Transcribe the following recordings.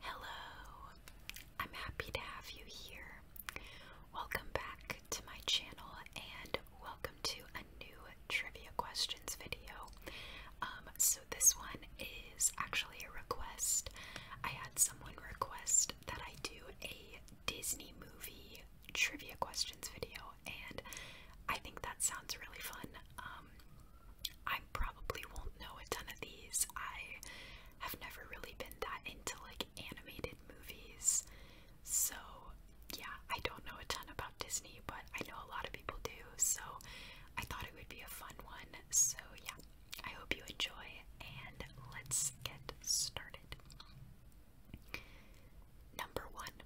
Hello, I'm happy to have you here. Welcome back to my channel and welcome to a new trivia questions video. Um, so, this one is actually a request. I had someone request that I do a Disney movie trivia questions video, and I think that sounds really fun. Um, I probably won't know a ton of these. I have never really been that into like animated movies. So, yeah, I don't know a ton about Disney, but I know a lot of people do. So, I thought it would be a fun one. So, yeah, I hope you enjoy and let's get started. Number one,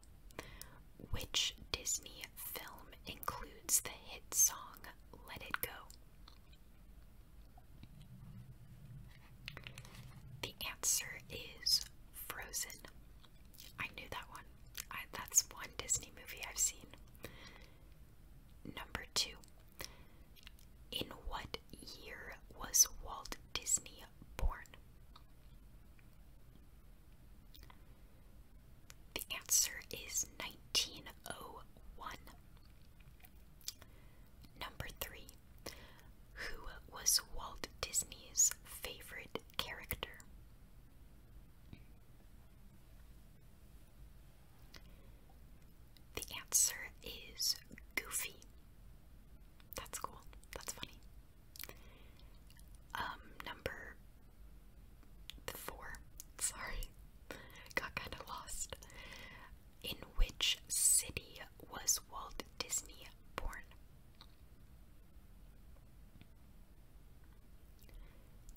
which Disney film includes the hit song Let It Go? The answer is Frozen. I knew that one. that's one Disney movie I've seen. Number two. In what year was Walt Disney born? The answer is 1901. Number 3. Who was Walt Disney's favorite character? The answer is Goofy. That's cool. That's funny. Um, number four, sorry, got kind of lost. In which city was Walt Disney born?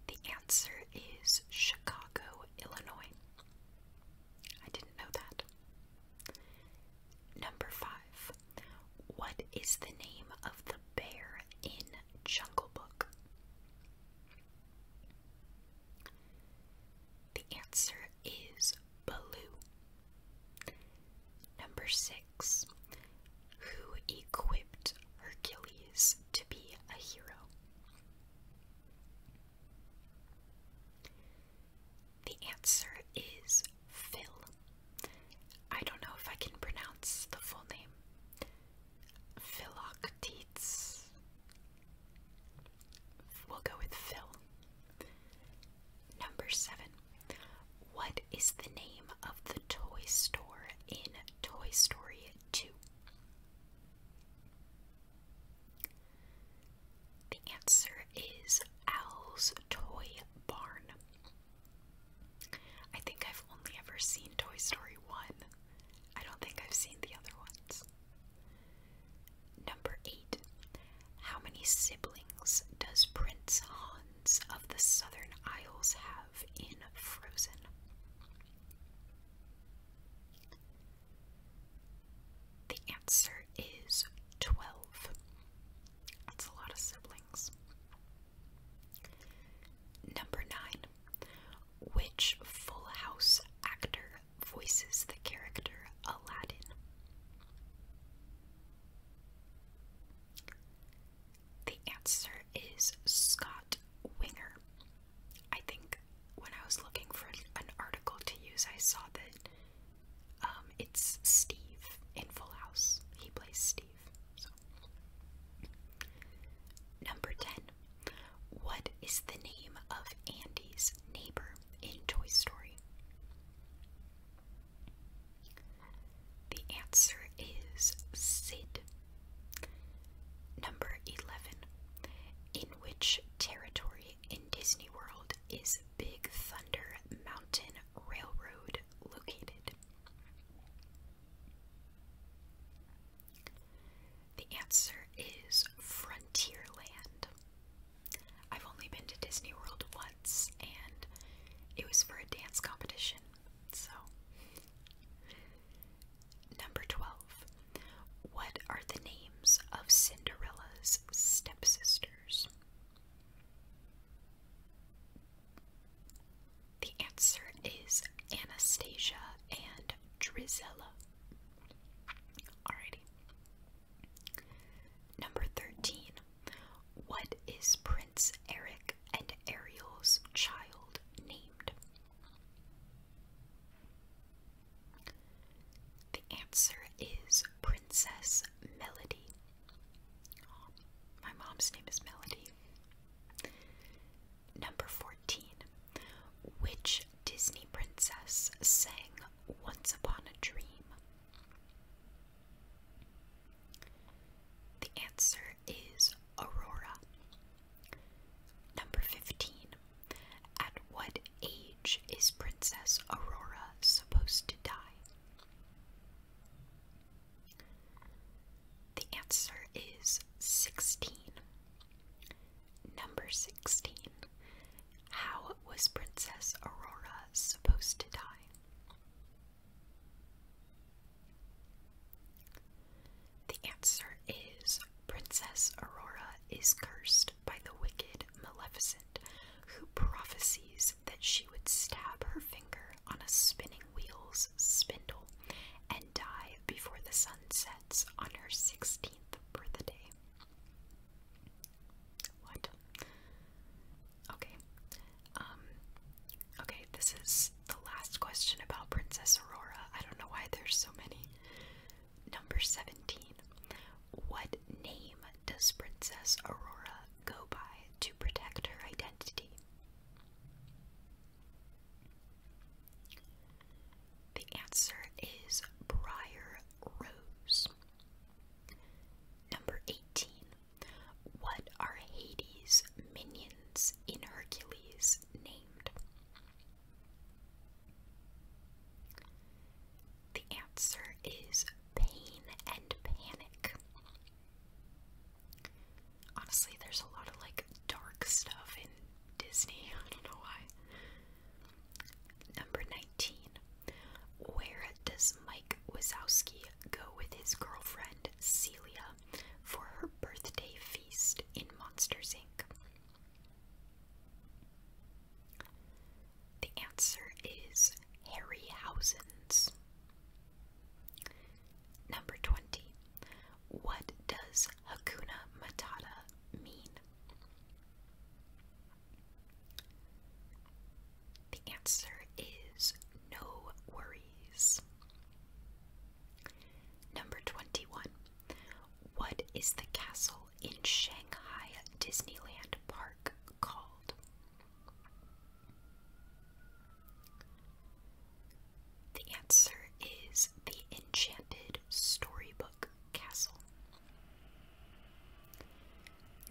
The answer is Chicago, Illinois. I didn't know that. Number five. What is the name of the bear in Jungle Book? The answer is Baloo. Number six, who equipped Hercules to be a hero? The answer is Phil. I don't know if I can pronounce the full name. Philoctetes. We'll go with Phil. Number seven. What is the name of the toy store in Toy Story 2? The answer is Owl's Toy Barn. I think I've only ever seen Toy Story 1. I don't think I've seen the other ones. Number 8. How many siblings does Prince Hans of the Southern Isles have in Frozen? The answer is 12. That's a lot of siblings. Number 9. Which Full House actor voices the character Aladdin? The answer is Scott Winger. I think when I was looking for an article to use, I saw that um, it's Steve in Full House. He plays Steve. Number 10. What is the name of Andy's neighbor in Toy Story? The answer is Sid. Number 11. In which territory in Disney World is Big Thunder Mountain Railroad located? The answer is Frontierland. I've only been to Disney World once, and it was for a dance competition, so. Number 12. What are the names of Cinderella's stepsisters? The answer is Anastasia and Drizella. Alrighty. Number 13. What is Prince Eric and Ariel's child named? The answer is Princess Melody. my mom's name is Melody. Number 14. Which Disney princess sang Once Upon a Dream? The answer is Aurora. Number 15. At what age is Princess Aurora supposed to die? The answer is 16. Number 16. How was Princess Aurora supposed to die? The answer is Princess Aurora is cursed by the wicked Maleficent, who prophesies that she would stab her finger on a spinning wheel's spindle and die before the sun set. Mets on her 16th birthday. What? Okay. Um, okay, this is the last question about Princess Aurora. I don't know why there's so many. Number 17. What name does Princess Aurora go by to protect her identity? The answer is Briar Rose. Number 18. What are Hades' minions in Hercules named? The answer is Pain and Panic. Honestly, there's a lot of like dark stuff in Disney. I don't know why. Number 19. Where does Mike Wazowski go with his girlfriend Celia for her birthday feast in Monsters Inc? The answer is Harryhausen's. Number 20. What does Hakuna Matata mean? The answer is no worries. Number 21. What is the castle in Shanghai Disneyland Park called? The answer is the Enchanted Storybook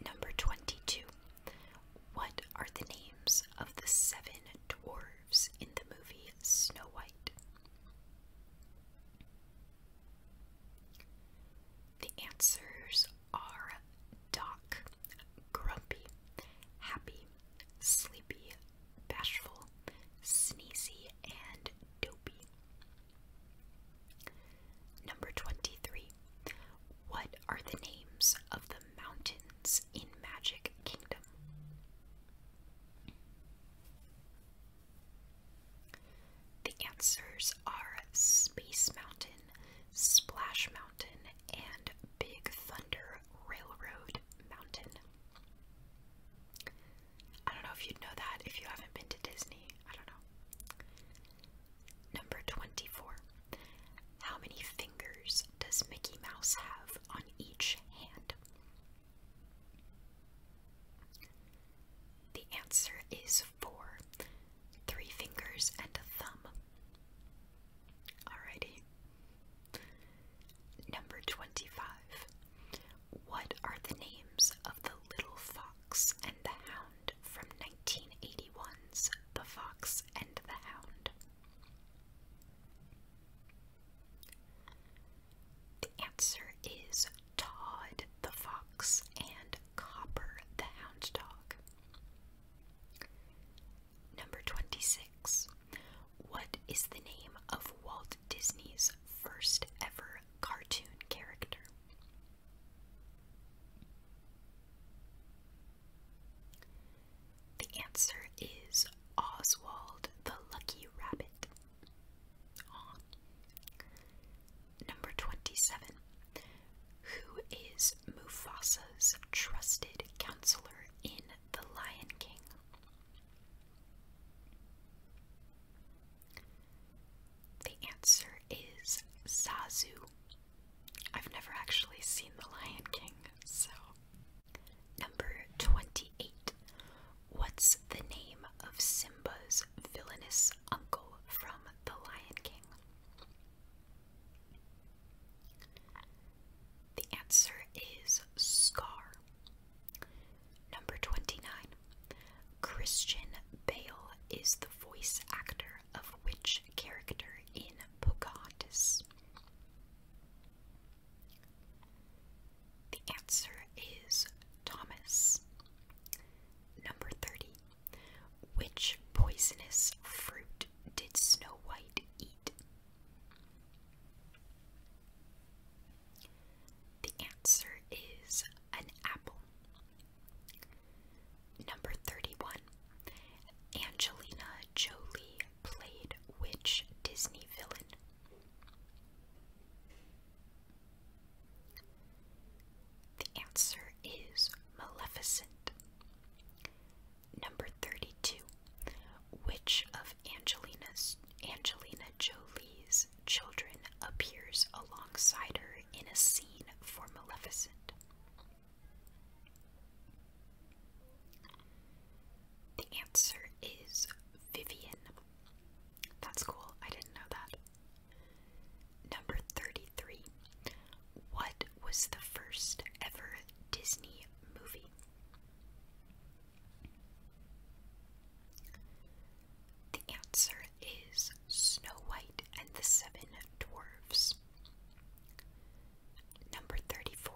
Number 22. What are the names of the seven dwarves in the movie Snow White? The answers are Doc, Grumpy, Happy, Sleepy, Bashful, Sneezy, and Dopey. Number 23. What are the names of the mountains in Magic Kingdom? The answers are Space Mountain, Splash Mountain, and Big Thunder Railroad Mountain. I don't know if you'd know that if you haven't been to Disney. I don't know. Number 24. How many fingers does Mickey Mouse have on each hand? The answer is four three fingers and a thumb. Alrighty. Number 25. What are the names of the Little Fox and the Hound from 1981's The Fox and the Hound? The answer is Todd the Fox and Copper the Hound Dog. Number 26. What is the name of Walt Disney's first ever cartoon character. The answer is Oswald the Lucky Rabbit. Aww. Number 27. Who is Mufasa's trusted counselor in The Lion King? The answer is Sazu. I've never actually seen The Lion King, so. Number 28. What's the name of Simba's villainous uncle from The Lion King? The answer is Scar. Number 29. Christian Bale is the voice actor of which character in Pocahontas? The answer is Thomas. Number 30. Which poisonous fruit did Snow White eat? The answer is an apple. Number 31. Angelina Jolie played which Disney villain? The answer is Maleficent. Number 32. Which of Angelina's Angelina Jolie's children appears alongside her in a scene for Maleficent. The answer is Vivian. That's cool, I didn't know that. Number 33. What was the first ever Disney movie? The answer is Snow White and the Seven Dwarfs. Number 34.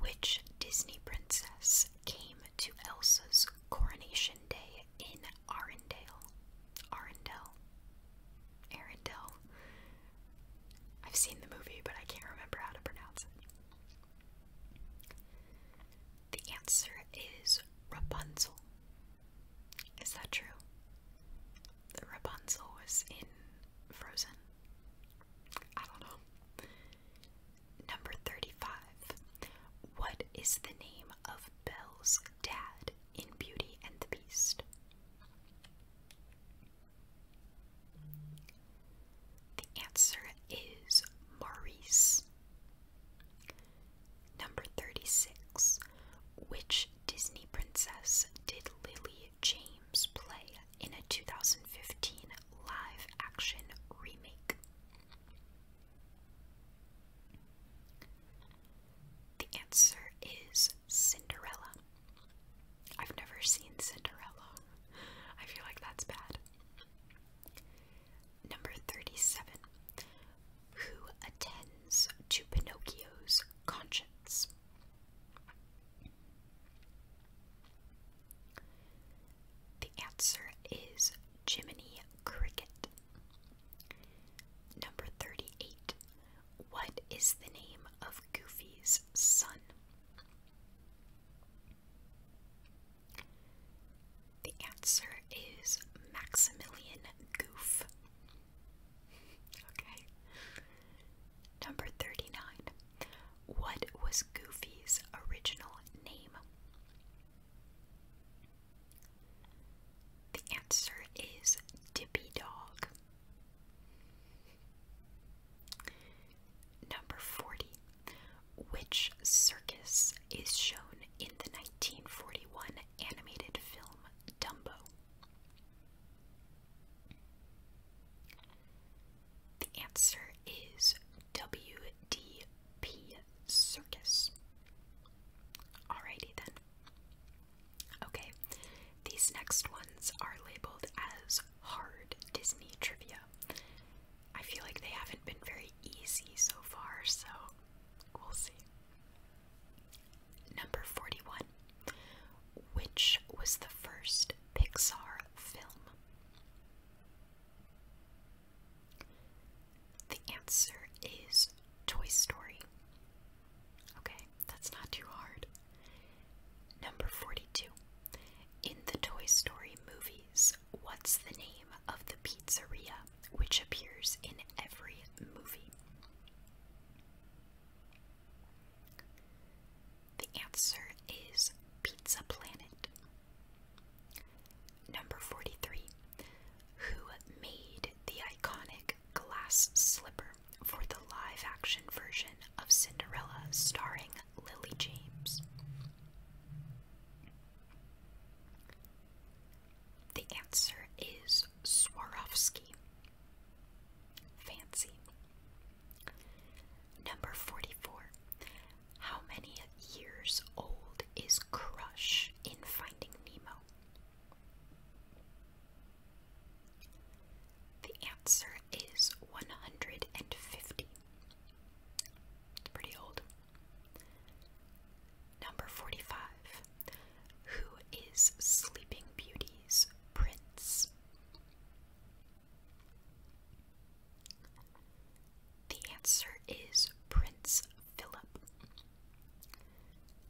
Which Disney princess came to Elsa's coronation day in Arendelle? Arendelle? Arendelle? I've seen the movie, but I can't remember how to pronounce it. The answer is Rapunzel. Is that true? The Rapunzel was in Frozen? I don't know. Number 35. What is the name of Belle's dad in Beauty and the Beast? The answer is Maurice. Number 36. Which Disney princess did Lily James play in a 2015 live action remake? The answer is Cinderella. I've never seen Cinderella. I feel like that's bad. Number 37. Who attends to Pinocchio's conscience? The answer is Jiminy Cricket. Number 38. What is the name of Goofy's son? The answer is Maximilian Goof. Okay. Number 39. What was Goofy's original name? The answer is Dippy Dog. Number 40. Which circus is shown in the 1940 1991 animated film Dumbo. The answer is WDP Circus. Alrighty then. Okay, these next ones are labeled as hard Disney trivia. I feel like they haven't been very easy so far, so We'll see. Number 41. Which was the first Pixar film? The answer is Toy Story. Okay, that's not too hard. Number 42. In the Toy Story movies, what's the name of the pizzeria which appears in every movie? The answer is Pizza Planet. Number 43. Who made the iconic glass slipper for the live action version of Cinderella starring Lily James? The answer is Swarovski. Fancy. Number 44. How many years old is Crush in Finding Nemo? The answer is 150. It's pretty old. Number 45. Who is Sleeping Beauty's prince? The answer is Prince Philip.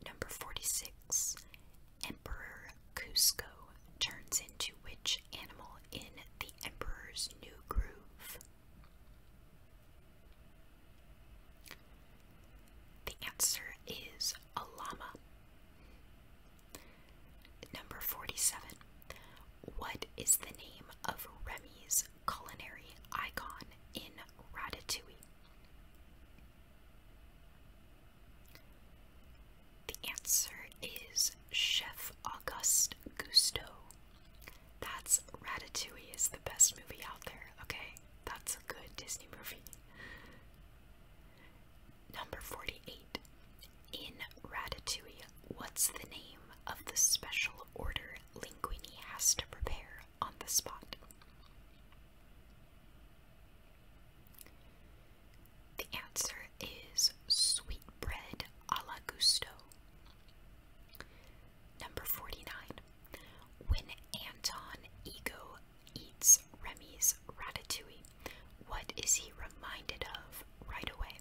Number 46. Emperor Cusco turns into which animal in The Emperor's New Groove? The answer is a llama. Number 47. What is the name of Remy's culinary icon in Ratatouille? The answer is Chef Auguste Gusto. That's Ratatouille is the best movie out there, okay? That's a good Disney movie. Number 48. In Ratatouille, what's the name of the special order Linguini has to prepare on the spot? The answer is sweet bread a la gusto. Number 49. When Anton Ego eats Remy's ratatouille, what is he reminded of right away?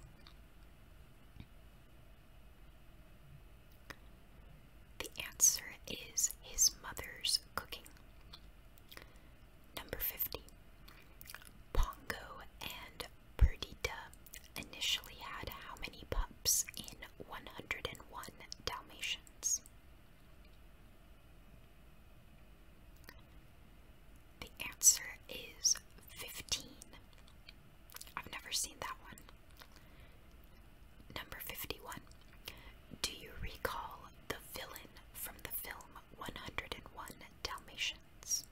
The answer is his mother's cooking. Number 50. Pongo and Perdita initially had how many pups in 100? 101 Dalmatians. The answer is 15. I've never seen that one. Number 51. Do you recall the villain from the film 101 Dalmatians?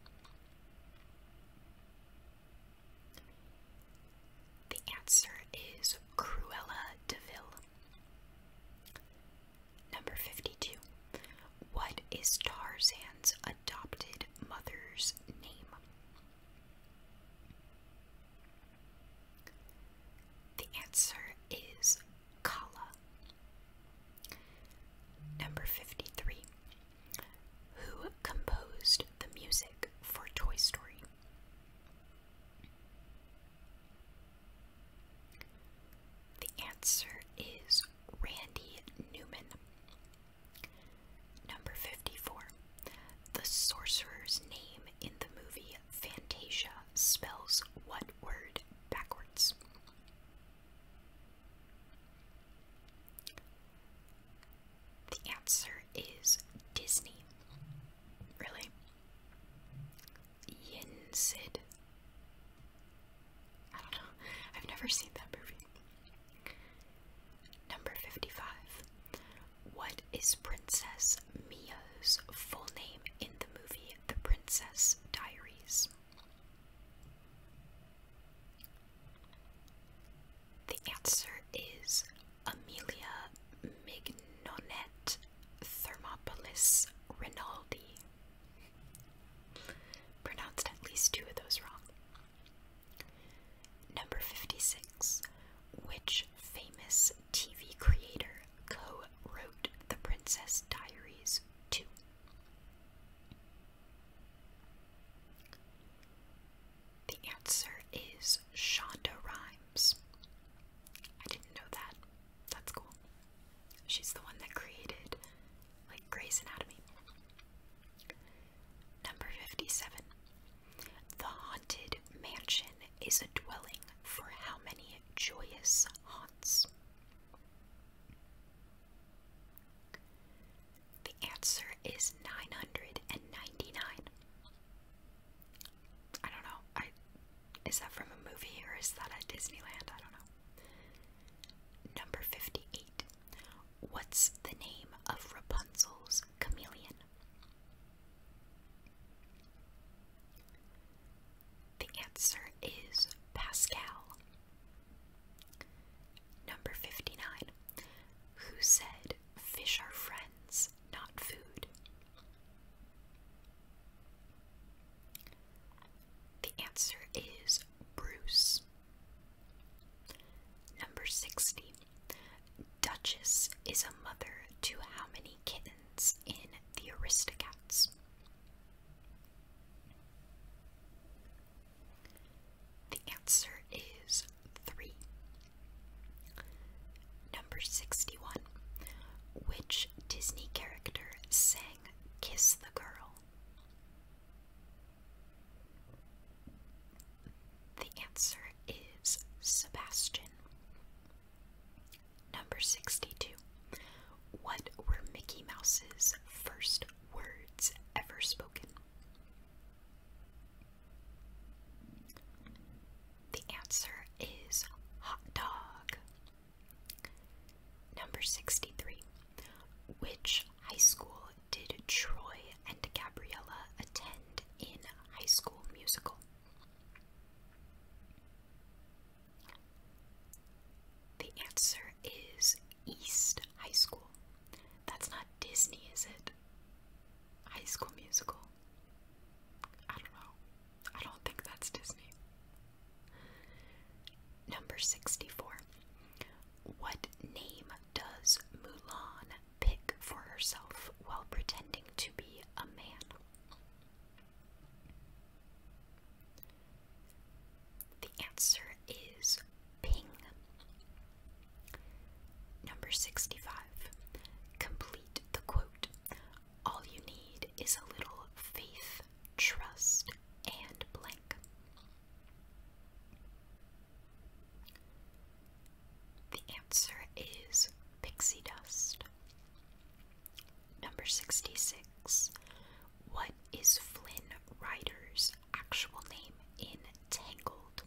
The answer is Cruella DeVille. Number 52. What is Tarzan's adopted mother's name? The answer is Kala. Number 53. Who composed the music for Toy Story? The answer is Randy Newman. Number 54. The sorcerer's name in the movie Fantasia spells what word backwards? The answer is Disney. Really? Yin Sid. I don't know. I've never seen that movie. Number 55. What is Princess Mia's full name in the movie The Princess Diaries? The answer is Amelia Mignonet Thermopolis Rinaldi. Pronounced at least two of those wrong. Number 56. Which famous TV creator co wrote The Princess Diaries 2? The answer is Shonda Rhimes. I didn't know that. That's cool. She's the one that created, like, Grey's Anatomy. Number 57. The Haunted Mansion is a dwelling for how many joyous haunts? The answer is 999. I don't know. is that from a movie or is that at Disneyland? I don't know. Number 58. What's the name of Rapunzel's chameleon? The answer is Pascal. Number 59. Who said fish are friends, not food. The answer is Bruce. Number 60. Duchess is a mother to how many kittens in The Aristocats? The answer is 3. Number 61. Which Disney character sang Kiss the Girl? The answer is Sebastian. Number 62. What were Mickey Mouse's first words ever spoken? The answer is hot dog. Number 63. Which high school did Troy and Gabriella attend in High School Musical? The answer is East High School. That's not Disney, is it? High School Musical. I don't know. I don't think that's Disney. Number 64. What name does Mulan pick for herself while pretending to be a man? The answer is Ping. Number 65. Complete the quote all you need is a little faith, trust, and blank. The answer is pixie dust. Number 66. What is Flynn Rider's actual name in Tangled?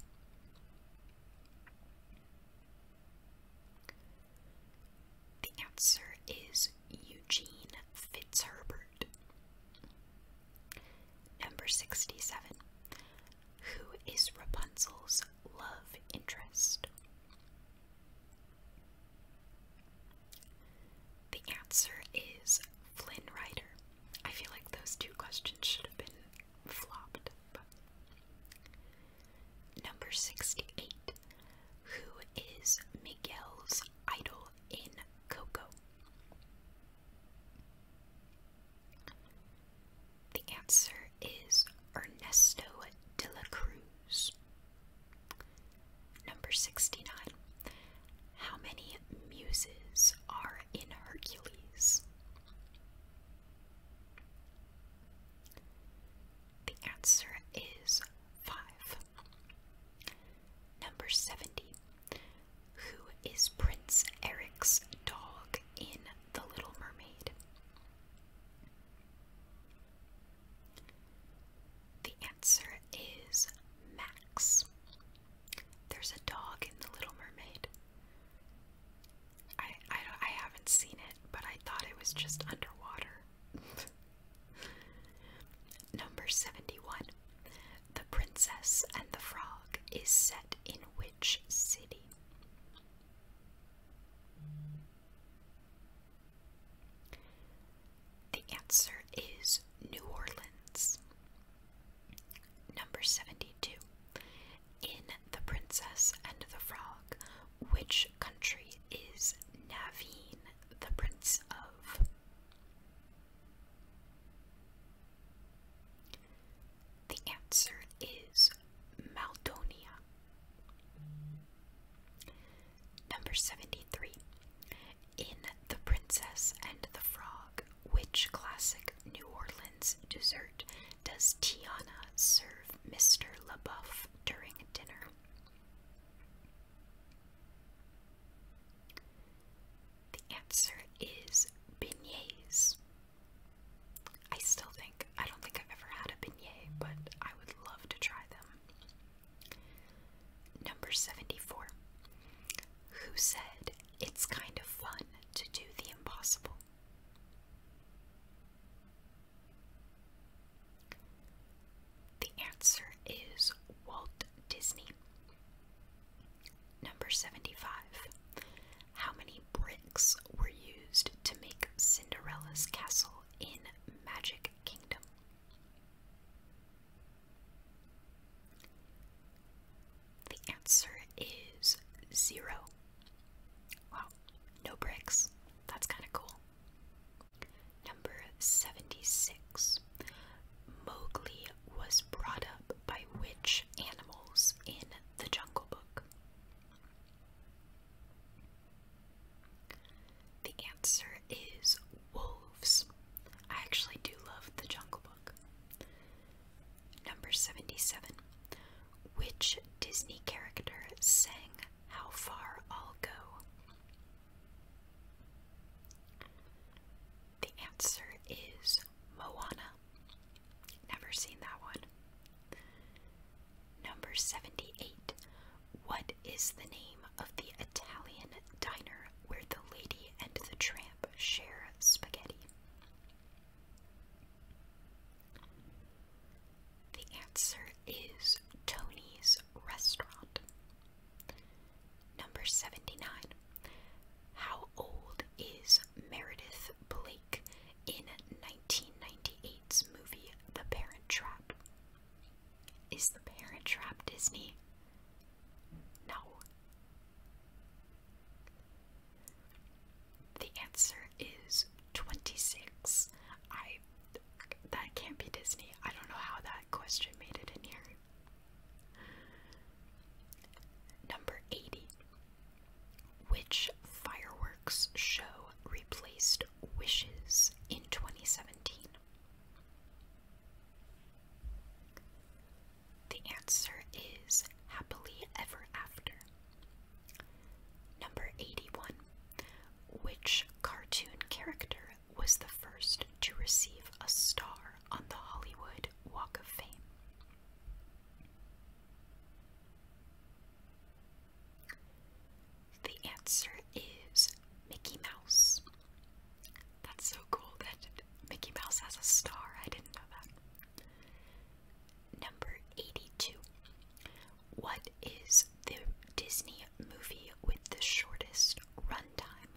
The answer is Eugene Fitzherbert. Number 67. Who is Rapunzel's love interest? The answer is Flynn Rider. I feel like those two questions should have been flopped. Number 68. Who is Miguel's idol in Coco? The answer is Ernesto de la Cruz. Number 69. How many muses are in Hercules? The answer is 5. Number 70. Who is Prince Eric's dog in The Little Mermaid? The answer is Max. There's a dog in The Little Mermaid. I I, haven't seen it, but I thought it was just underwater. Number 71. The Princess and the Frog is set in which city? The answer is New Orleans. Number 72. In The Princess and the Frog, which country is Naveen the Prince of? The answer is Maldonia. Number 73. In The Princess and the Frog, which classic New Orleans dessert does Tiana serve Mr. LaBeouf? during dinner. The answer is beignets. I still think, I don't think I've ever had a beignet, but I would love to try them. Number 74. Who said it's kind of fun to do the impossible? The answer is Walt Disney. Number 75. How many bricks were used to make Cinderella's castle in Magic Kingdom? The answer is zero. Wow, no bricks. That's kind of cool. Number 76. Mowgli was brought up by which animals in the Jungle Book? The answer is wolves. I actually do love the Jungle Book. Number 77. Which Disney character sang how far I'll go. The answer is Moana. Never seen that one. Number 78. What is the name of the Italian diner where the lady and the tramp share spaghetti? The answer is Tony's Restaurant. Number 79. How old is Meredith Blake in 1998's movie The Parent Trap? Is The Parent Trap Disney? No. The answer is 26. I that can't be Disney. I don't know how that question made it in here. Number 80. Which fireworks show replaced Wishes in 2017? The answer is Happily Ever After. Number 81. Which cartoon character was the first to receive a star on the Hollywood Walk of Fame? The answer is Mickey Mouse. That's so cool that Mickey Mouse has a star. I didn't know that. Number 82. What is the Disney movie with the shortest run time?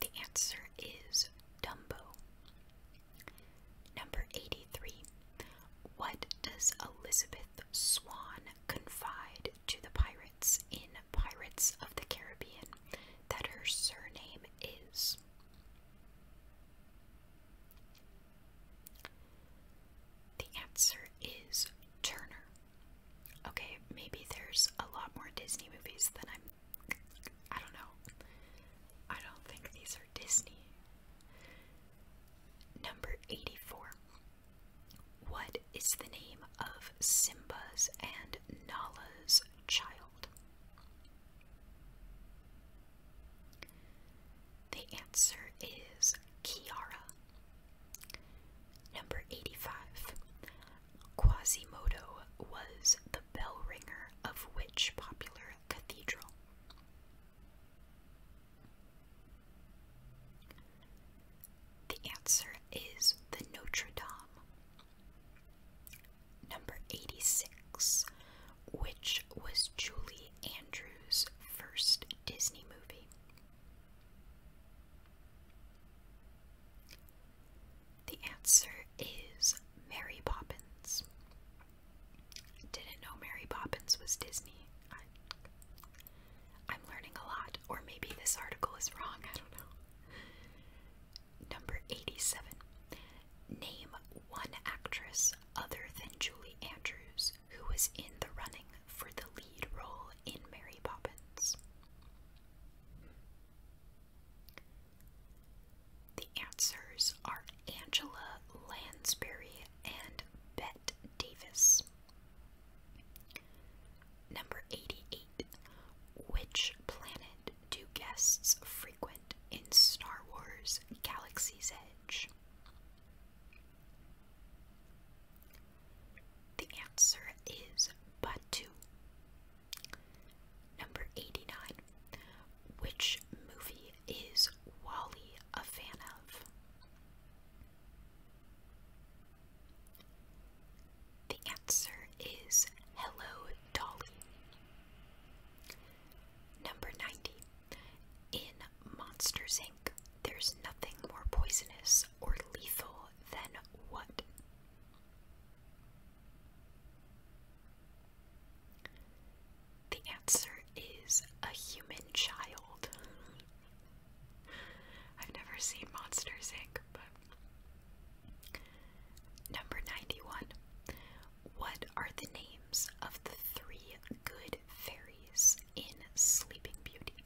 The answer is Dumbo. Number 83. What does Elizabeth Swan confide to the pirates in Pirates of the Caribbean that her surname is? The answer is Turner. Okay, maybe there's a lot more Disney movies than I'm. I don't know. I don't think these are Disney. Number 84. What is the name of Simba's and Nala's child? The answer is Kiara. Number 85. Quasimodo was the bell ringer of which popular cathedral? The answer is the Notre Dame. Number 86, which was Julie Andrews' first Disney movie. The answer is Mary Poppins. Didn't know Mary Poppins was Disney. I, am learning a lot, or maybe this article is wrong, I don't know. Number 87. Name one actress other than Julie Andrews who was in the running for the lead role in Mary Poppins. The answers are Angela Lansbury and Bette Davis. Number 88. Which planet do guests frequent in Star Wars Galaxy's Edge? The answer is but two. Number 89. Which movie is Wally a fan of? The answer is Hello Dolly. Number 90. In Monsters Inc., there's nothing more poisonous or lethal than what? The answer is a human child. I've never seen Monsters Inc., but. Number 91. What are the names of the three good fairies in Sleeping Beauty?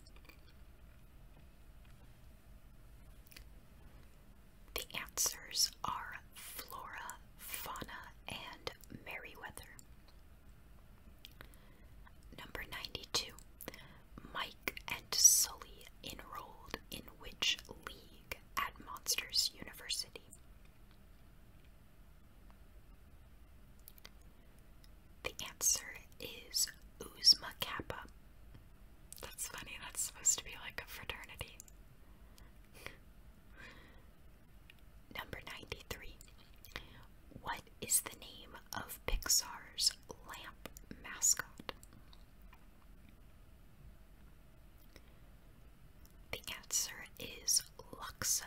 The answers are Flora, Fauna, and Merriweather. Number 92. Mike and Sully enrolled in which league at Monsters University? The answer is Uzma Kappa. That's funny, that's supposed to be like a fraternity. Number 93. What is the name of Pixar's lamp mascot? The answer is Luxo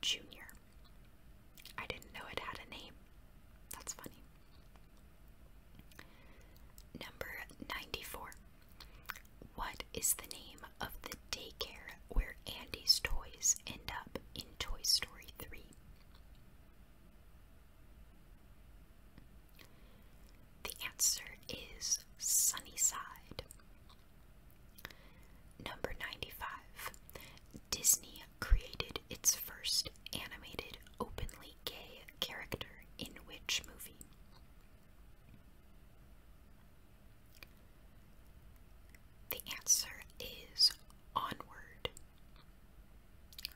Jr. I didn't know it had a name. That's funny. Number 94. What is the name of the daycare where Andy's toys end up in Toy Story 3? The answer is Sunnyside. Number 95. Disney created its first animated openly gay character in which movie? The answer is Onward.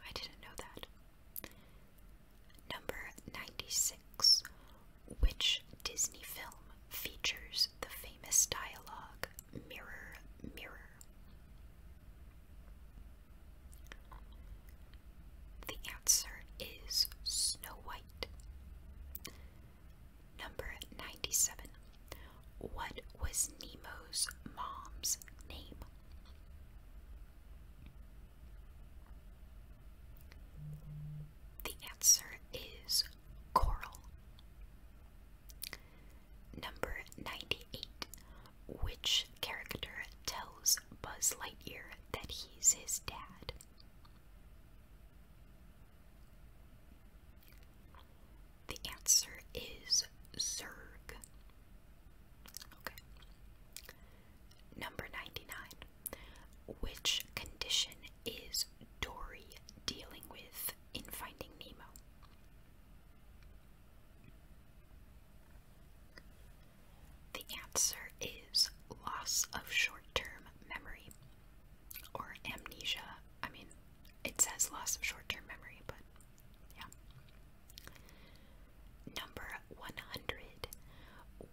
I didn't know that. Number 96. Which Disney film features the famous dialogue Mirror, Mirror? The answer is Snow White. Number 97. What was Nemo's mom's name? The answer is coral. Number 98. Which character tells Buzz Lightyear that he's his dad? The answer is Zurg. Okay. Number 99. Which condition is Dory dealing with in Finding Nemo? The answer is loss of short term memory or amnesia. I mean, it says loss of short term memory, but yeah. Number 100.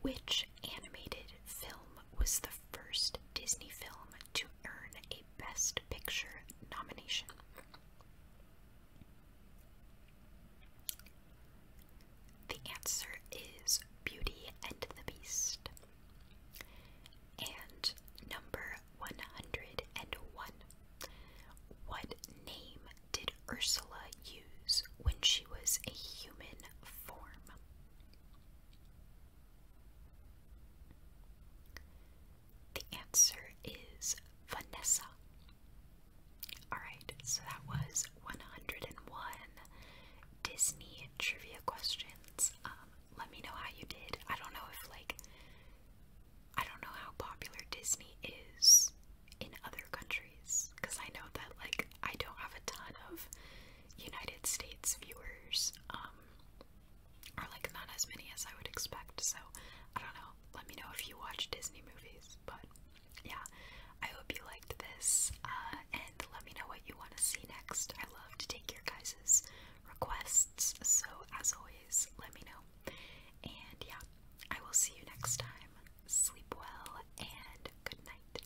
Which animated film was the first Disney film to earn a Best Picture nomination. The answer is Beauty and the Beast. And number 101. What name did Ursula use when she was a human form? The answer is Vanessa. Alright, so that was 101 Disney trivia questions. Um, let me know how you did. I don't know if, like, I don't know how popular Disney is in other countries because I know that, like, I don't have a ton of United States viewers um, are like not as many as I would expect. So I don't know. Let me know if you watch Disney movies. But yeah, I hope you liked this, uh, and let me know what you want to see next. I love to take your guys' requests. So as always, let me know. And yeah, I will see you next time. Sleep well and good night.